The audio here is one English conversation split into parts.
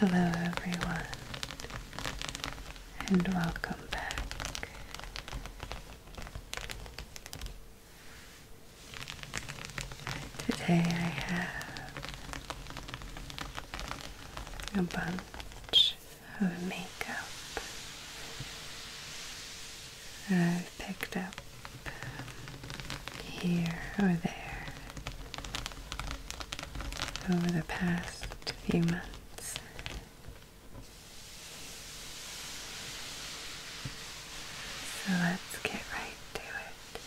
Hello, everyone, and welcome back. Today I have a bunch of makeup I've picked up here or there over the past few months. So let's get right to it.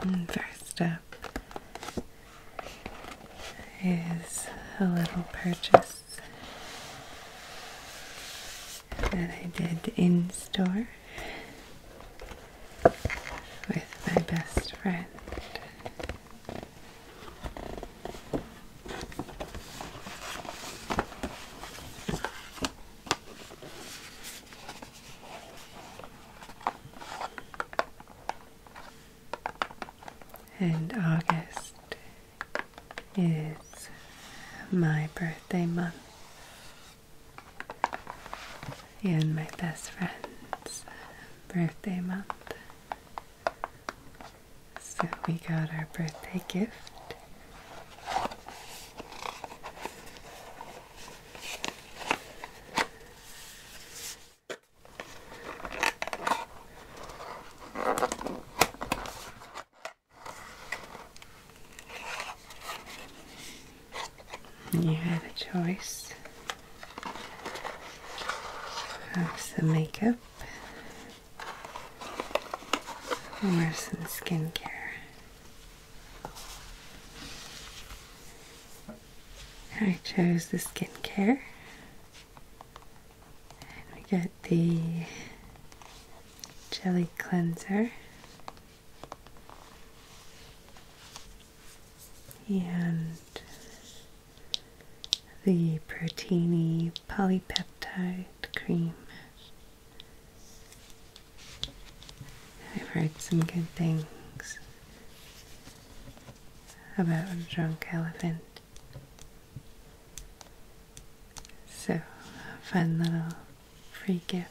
Mm, first step is a little purchase that I did in store with my best friend. And August is my birthday month. And my best friend's birthday month. So we got our birthday gift. You have a choice some makeup or some skincare. I chose the skincare. And we get the jelly cleanser. And the Proteini Polypeptide Cream. I've heard some good things about a drunk elephant. So, a fun little free gift.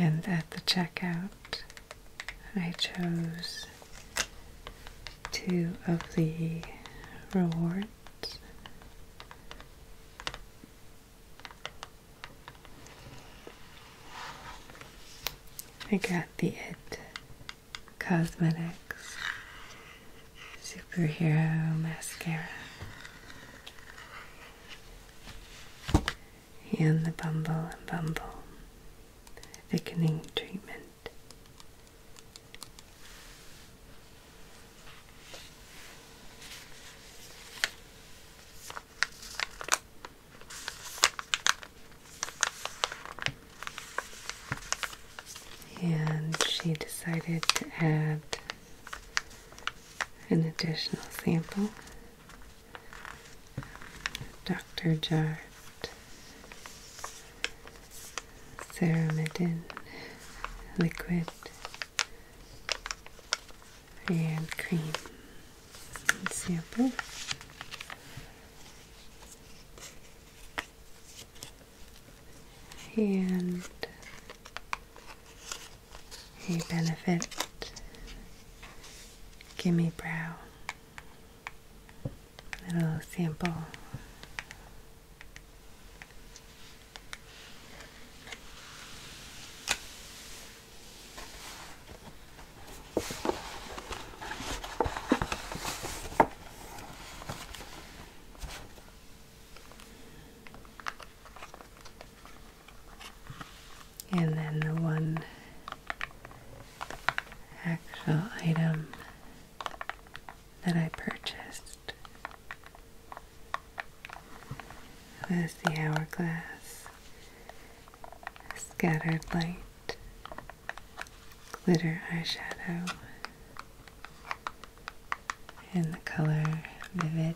And at the checkout, I chose two of the rewards. I got the It Cosmetics Superhero Mascara and the Bumble and Bumble Thickening Treatment. And she decided to add an additional sample. Dr. Jart, Ceramidin liquid, and cream sample and a benefit gimme brow little sample and then the one actual item that I purchased was the hourglass scattered light glitter eyeshadow in the color Vivid.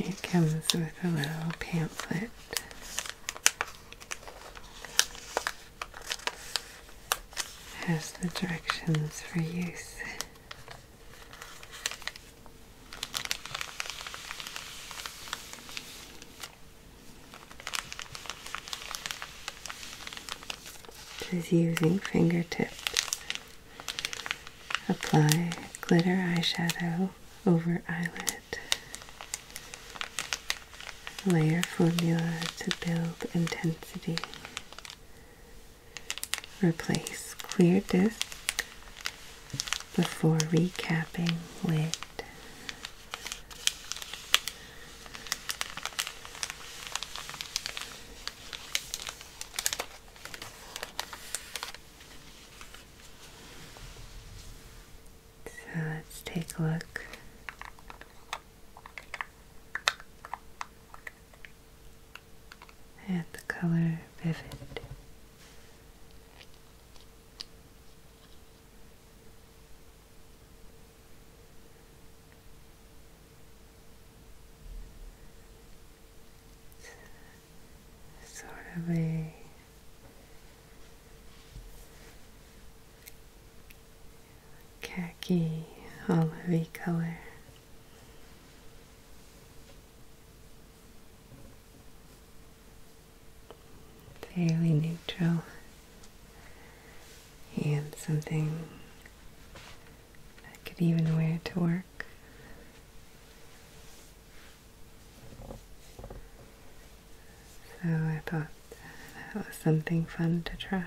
It comes with a little pamphlet. Has the directions for use. Is using fingertips. Apply glitter eyeshadow over eyelid. Layer formula to build intensity. Replace clear disc before recapping lid. So let's take a look and the color vivid. sort of a khaki olivey color fairly neutral and something I could even wear to work. So I thought that was something fun to try.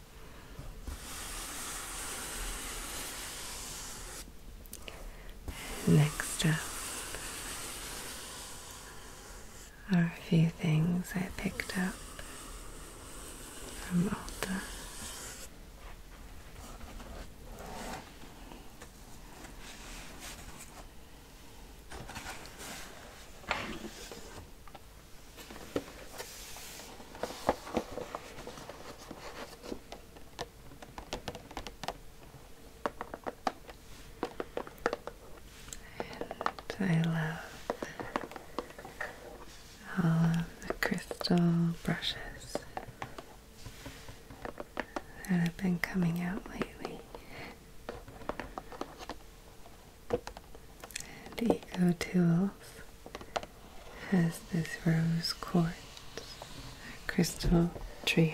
Next up are a few things I picked up from Ulta. And I love all of the crystal brushes that have been coming out lately. And Eco Tools has this rose quartz crystal trio.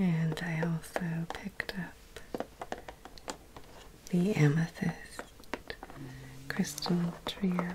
And I also picked up the amethyst crystal trio.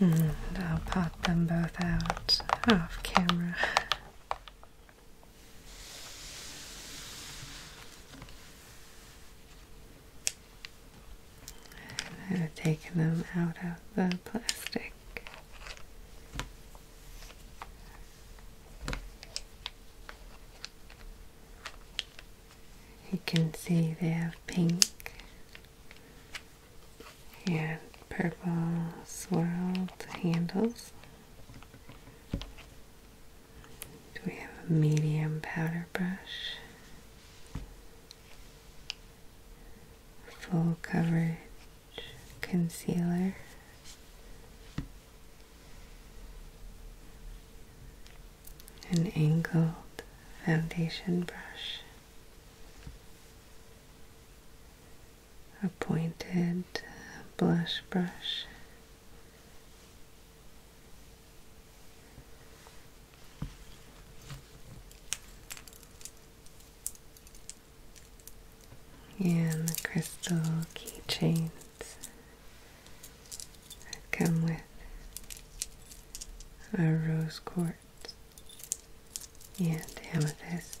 And I'll pop them both out off camera. I've taken them out of the plastic. You can see they have pink and purple swirled handles. We have a medium powder brush full coverage concealer. An angled foundation brush, a pointed blush brush, and the crystal keychains that come with a rose quartz and amethyst.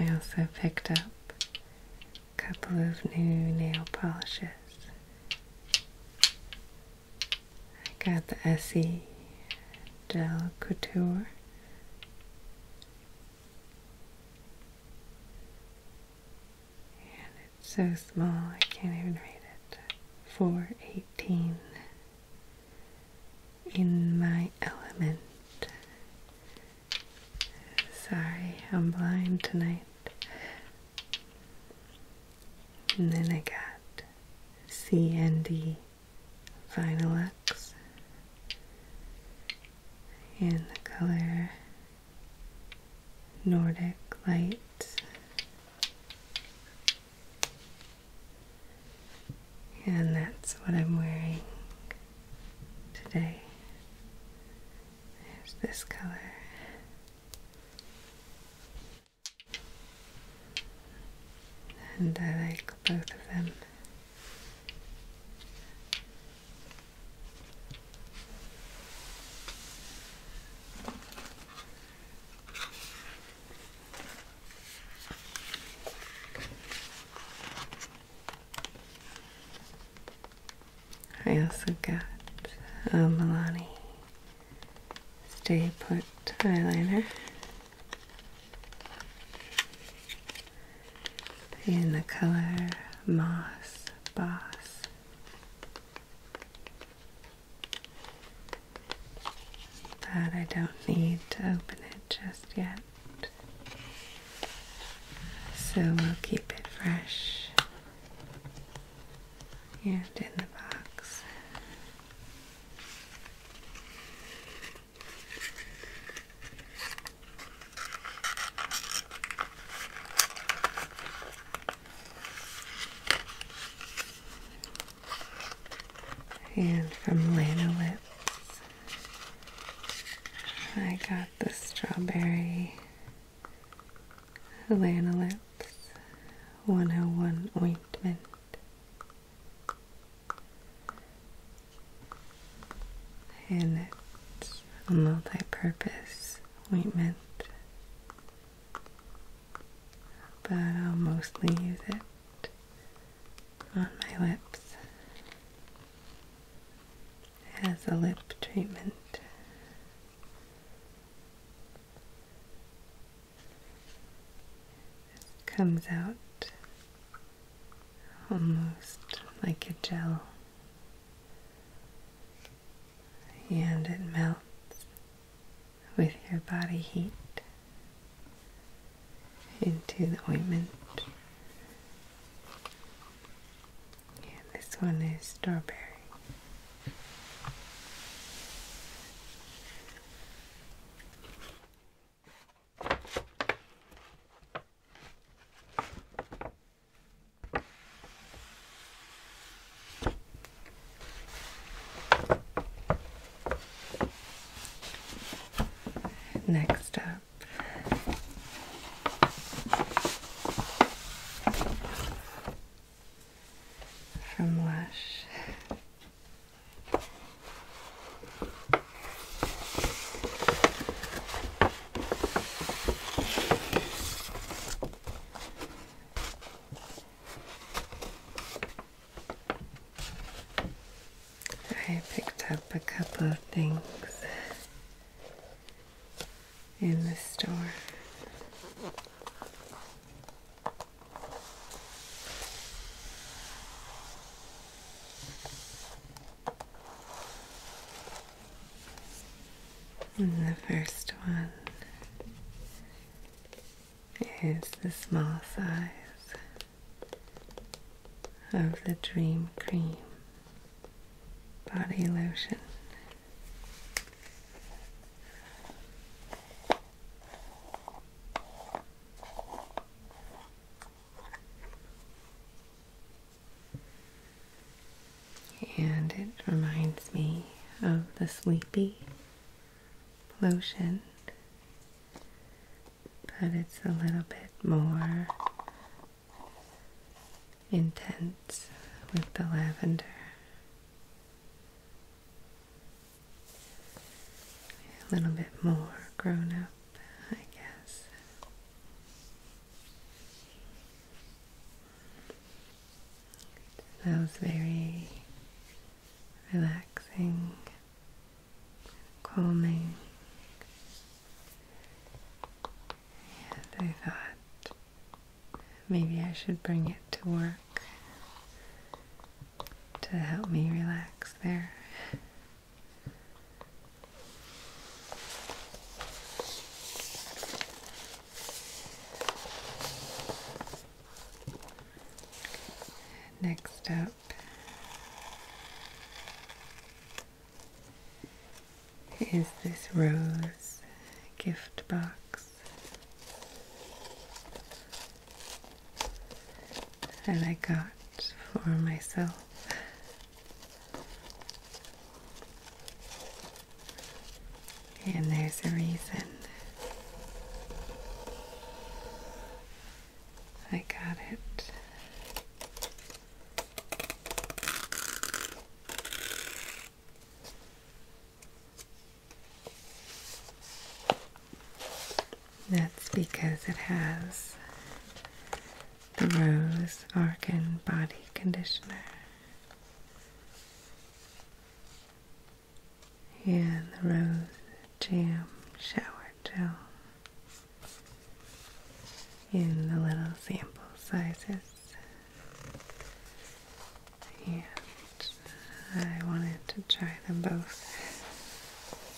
I also picked up a couple of new nail polishes. I Got the Essie Del Couture. And it's so small I can't even read it. 418. In my element. Sorry, I'm blind tonight. And then I got C and D Vinylux in the color Nordic Light. And that's what I'm wearing today. There's this color and I like both of them. I also got a uh, Milani Stay Put eyeliner in the color Moss Boss. But I don't need to open it just yet. So we'll keep it fresh and in the box. And from Lanolitz, I got the strawberry Lanolitz 101 ointment and it's a multi-purpose ointment but I'll mostly use it on my lips as a lip treatment this comes out almost like a gel and it melts with your body heat into the ointment. And this one is strawberry. Next up, from Lush, I picked up a couple of things in the store. And the first one is the small size of the Dream Cream Body Lotion. And it reminds me of the sleepy lotion, but it's a little bit more intense with the lavender a little bit more grown up, I guess. That was very relaxing, calming, and I thought maybe I should bring it to work to help me relax there. Next up is this rose gift box that I got for myself. And there's a reason I got it. That's because it has the Rose Argan Body Conditioner and the Rose Jam Shower Gel in the little sample sizes. And I wanted to try them both.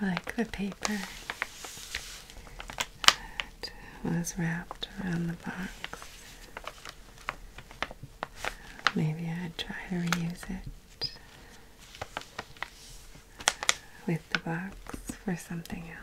I like the paper that was wrapped around the box. Maybe I'd try to reuse it with the box for something else.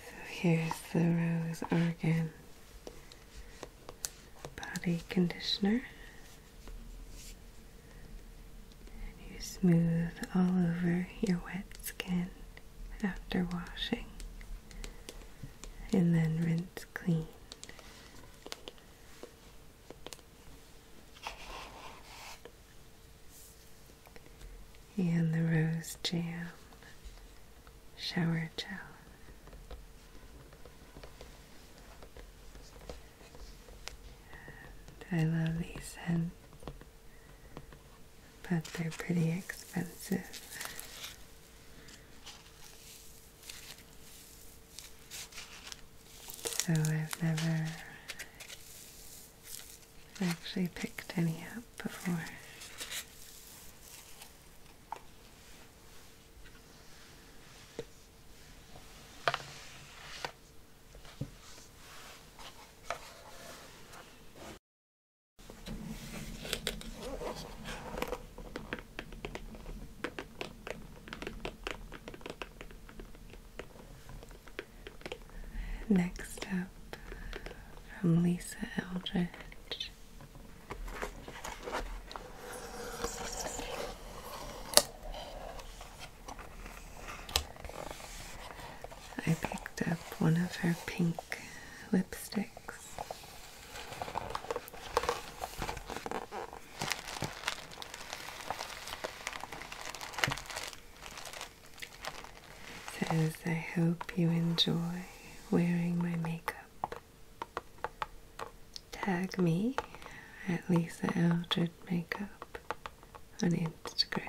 So here's the Rose organ body conditioner. And you smooth all over your wet skin after washing and then rinse clean. And the rose jam shower gel. I love these scents, but they're pretty expensive. So I've never actually picked any up before. Next up from Lisa Eldridge. I picked up one of her pink lipsticks. Says, I hope you enjoy wearing my makeup. Tag me at Lisa Eldred Makeup on Instagram.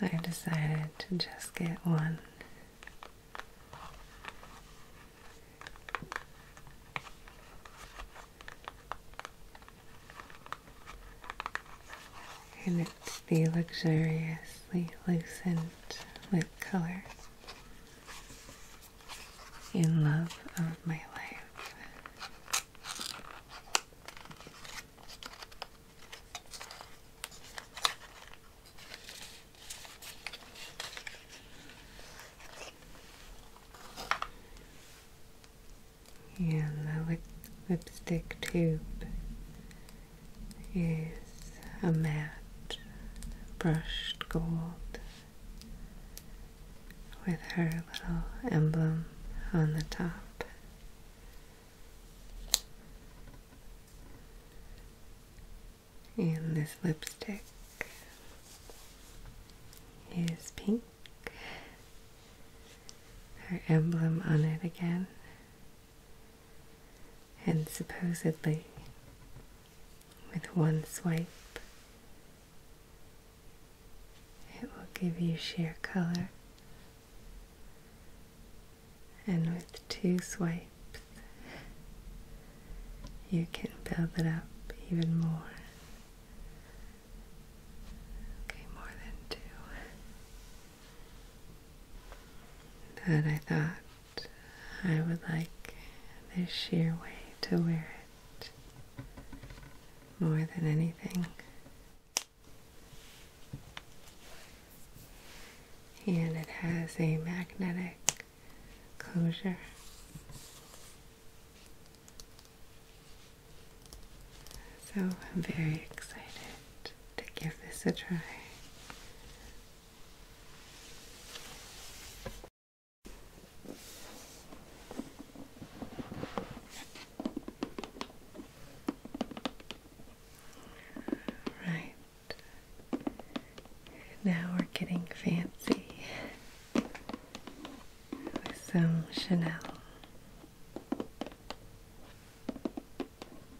i decided to just get one. And it the luxuriously lucent lip color in love of my life. And the lipstick tube is a matte brushed gold with her little emblem on the top. And this lipstick is pink. Her emblem on it again and supposedly, with one swipe, it will give you sheer color. And with two swipes, you can build it up even more. Okay, more than two. But I thought I would like this sheer way to wear it more than anything. And it has a magnetic closure. So I'm very excited to give this a try. Right. Now we're getting fancy with some Chanel.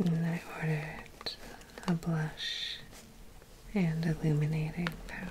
And I ordered a blush and illuminating powder.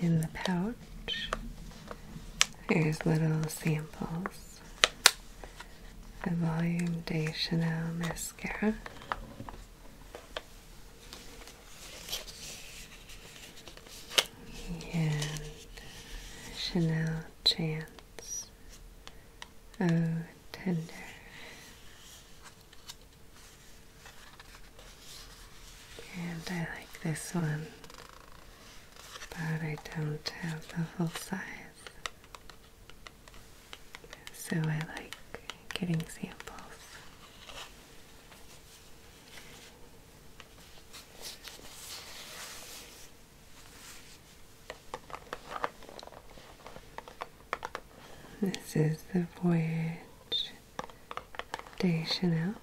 In the pouch, there's little samples. The Volume de Chanel mascara and Chanel Chance, Oh Tender. And I like this one, but I don't have the full size. So I like getting samples. This is the Voyage de Chanel.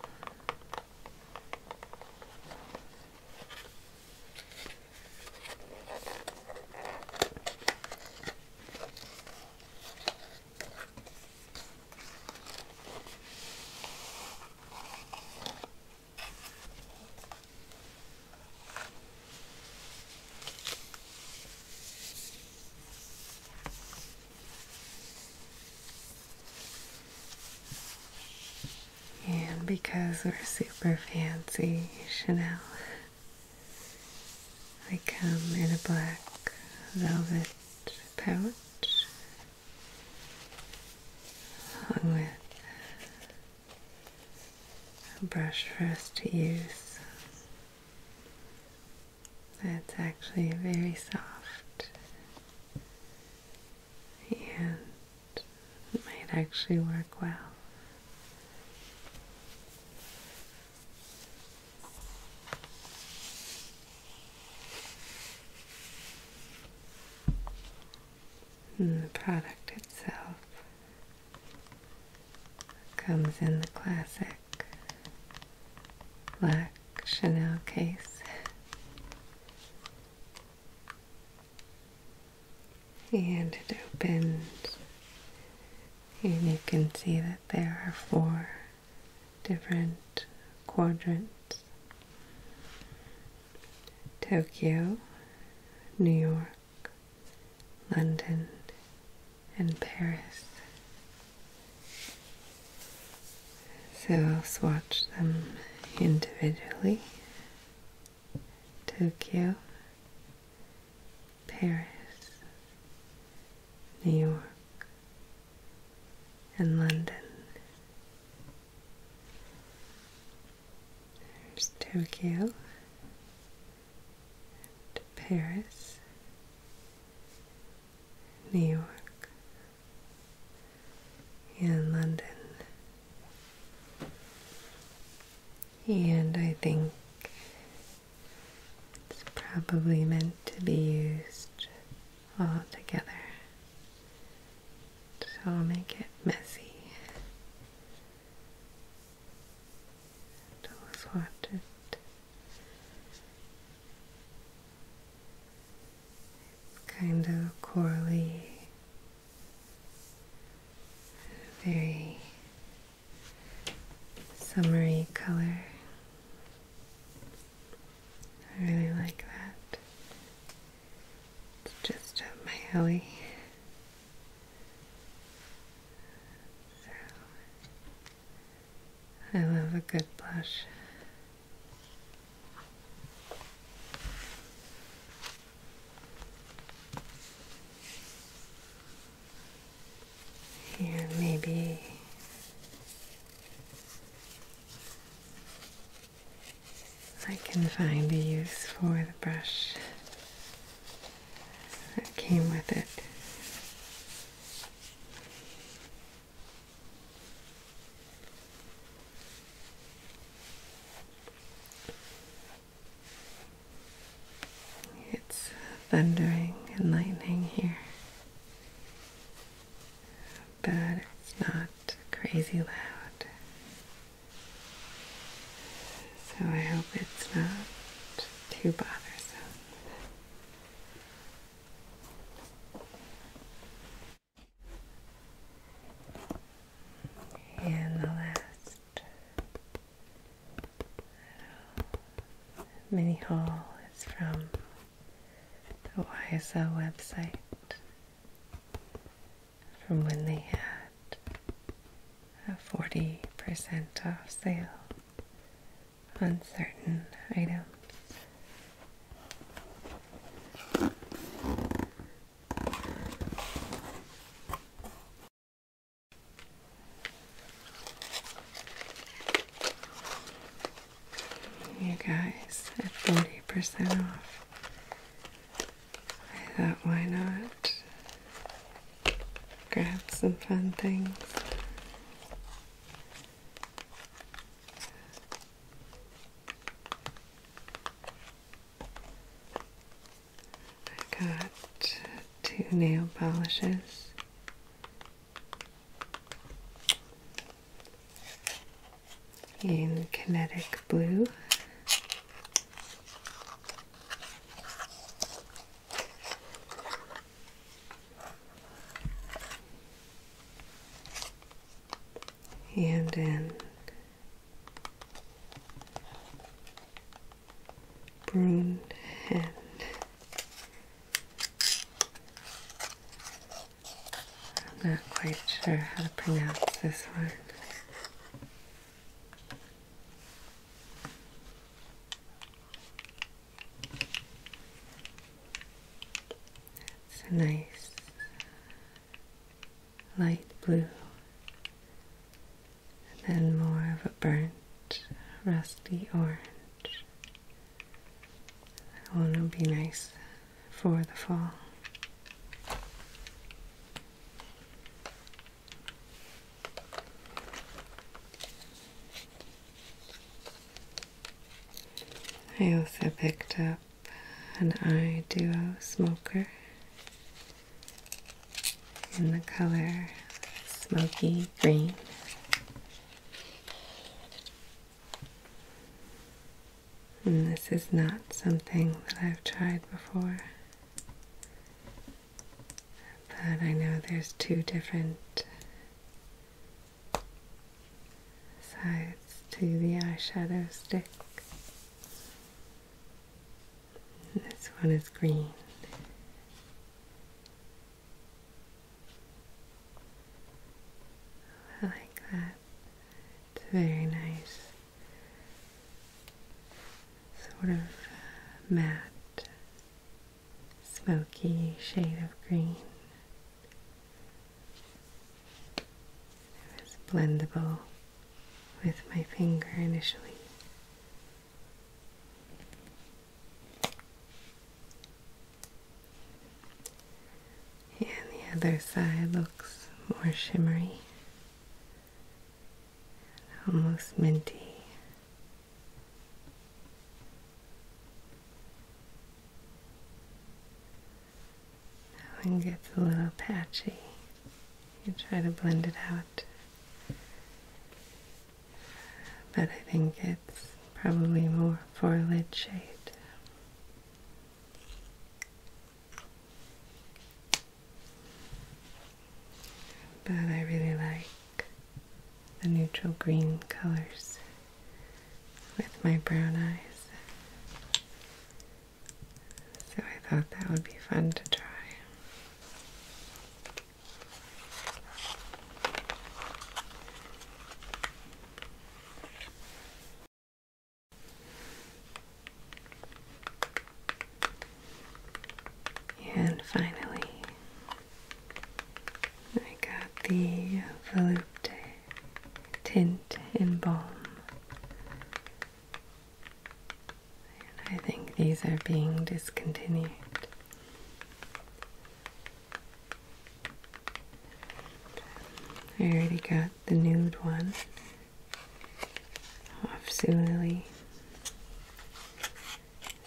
And because we're super fancy, Chanel they come in a black velvet pouch along with a brush for us to use that's actually very soft and might actually work well the product itself comes in the classic black Chanel case. And it opens, and you can see that there are four different quadrants Tokyo, New York, London, and Paris. So I'll swatch them individually. Tokyo, Paris, New York, and London. There's Tokyo and Paris, New York, and London. And I think it's probably meant to be used all together. So I'll make it messy. Don't always it. kind of corally, very summery color. I really like that. just up my alley. I love a good blush and maybe I can find a use for the brush that came with it. It's thundering and lightning here but it's not crazy loud. So I hope it's not too bothersome. And the last mini haul is from the YSL website from when they had a 40% off sale on certain items. You guys at 40% off. I thought, why not grab some fun things? I got two nail polishes in kinetic blue. And in Brune and I'm not quite sure how to pronounce this one. It's a nice light blue, and then more of a burnt, rusty orange. That will be nice for the fall. I also picked up an eye duo smoker in the color smoky green. And this is not something that I've tried before. But I know there's two different sides to the eyeshadow stick. This one is green. I like that. It's very nice. Sort of uh, matte, smoky shade of green. It's blendable with my finger initially. And the other side looks more shimmery, almost minty. That one gets a little patchy. You try to blend it out. But I think it's probably more for a lid shade. But I really like the neutral green colors with my brown eyes. So I thought that would be fun to try. And finally, I got the Volupte Tint and Balm. And I think these are being discontinued. I already got the nude one off Zulily.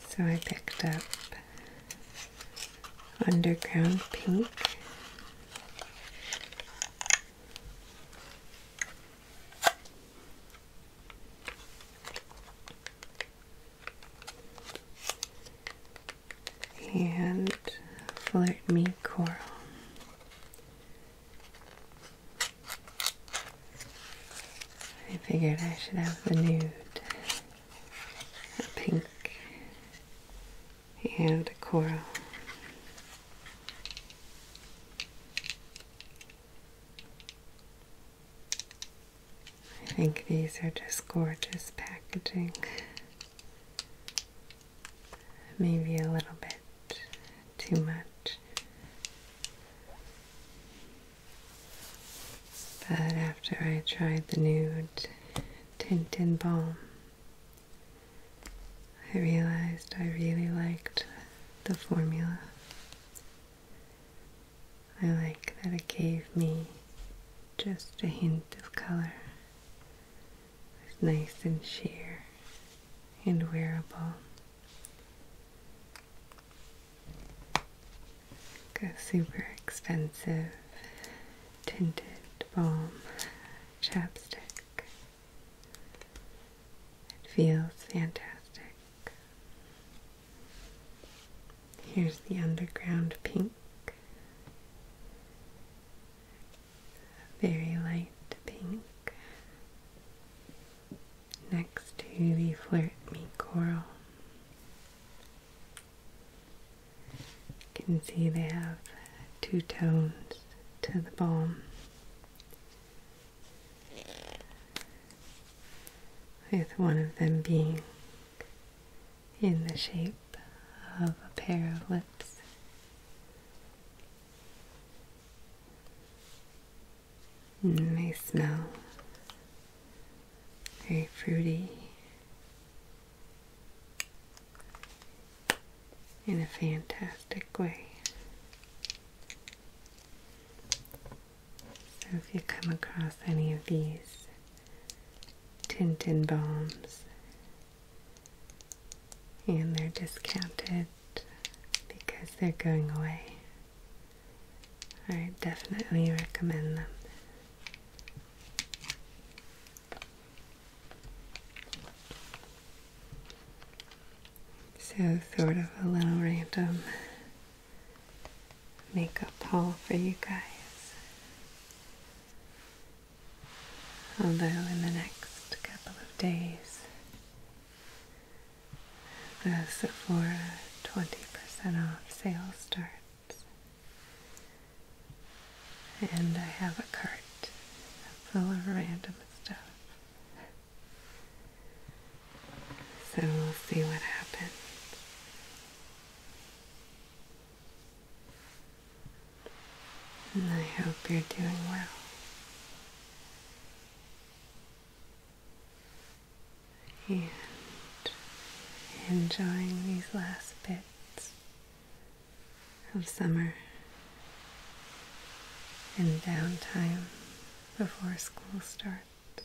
So I picked up Underground Pink and Flirt Me Coral. I figured I should have the nude, a pink, and a coral. I think these are just gorgeous packaging. Maybe a little bit too much. But after I tried the nude tint and balm, I realized I really liked the formula. I like that it gave me just a hint of color it's nice and sheer and wearable. a super expensive tinted balm chapstick. It feels fantastic. Here's the underground pink very light pink next to the Flirt Me Coral. You can see they have two tones to the balm. With one of them being in the shape of a pair of lips. And they smell very fruity in a fantastic way. So if you come across any of these Tintin bombs, and they're discounted because they're going away. I definitely recommend them. So, sort of a little random makeup haul for you guys. Although, in the next couple of days, the Sephora 20% off sale starts, and I have a cart full of random stuff. So we'll see what happens and I hope you're doing well. And enjoying these last bits of summer and downtime before school starts.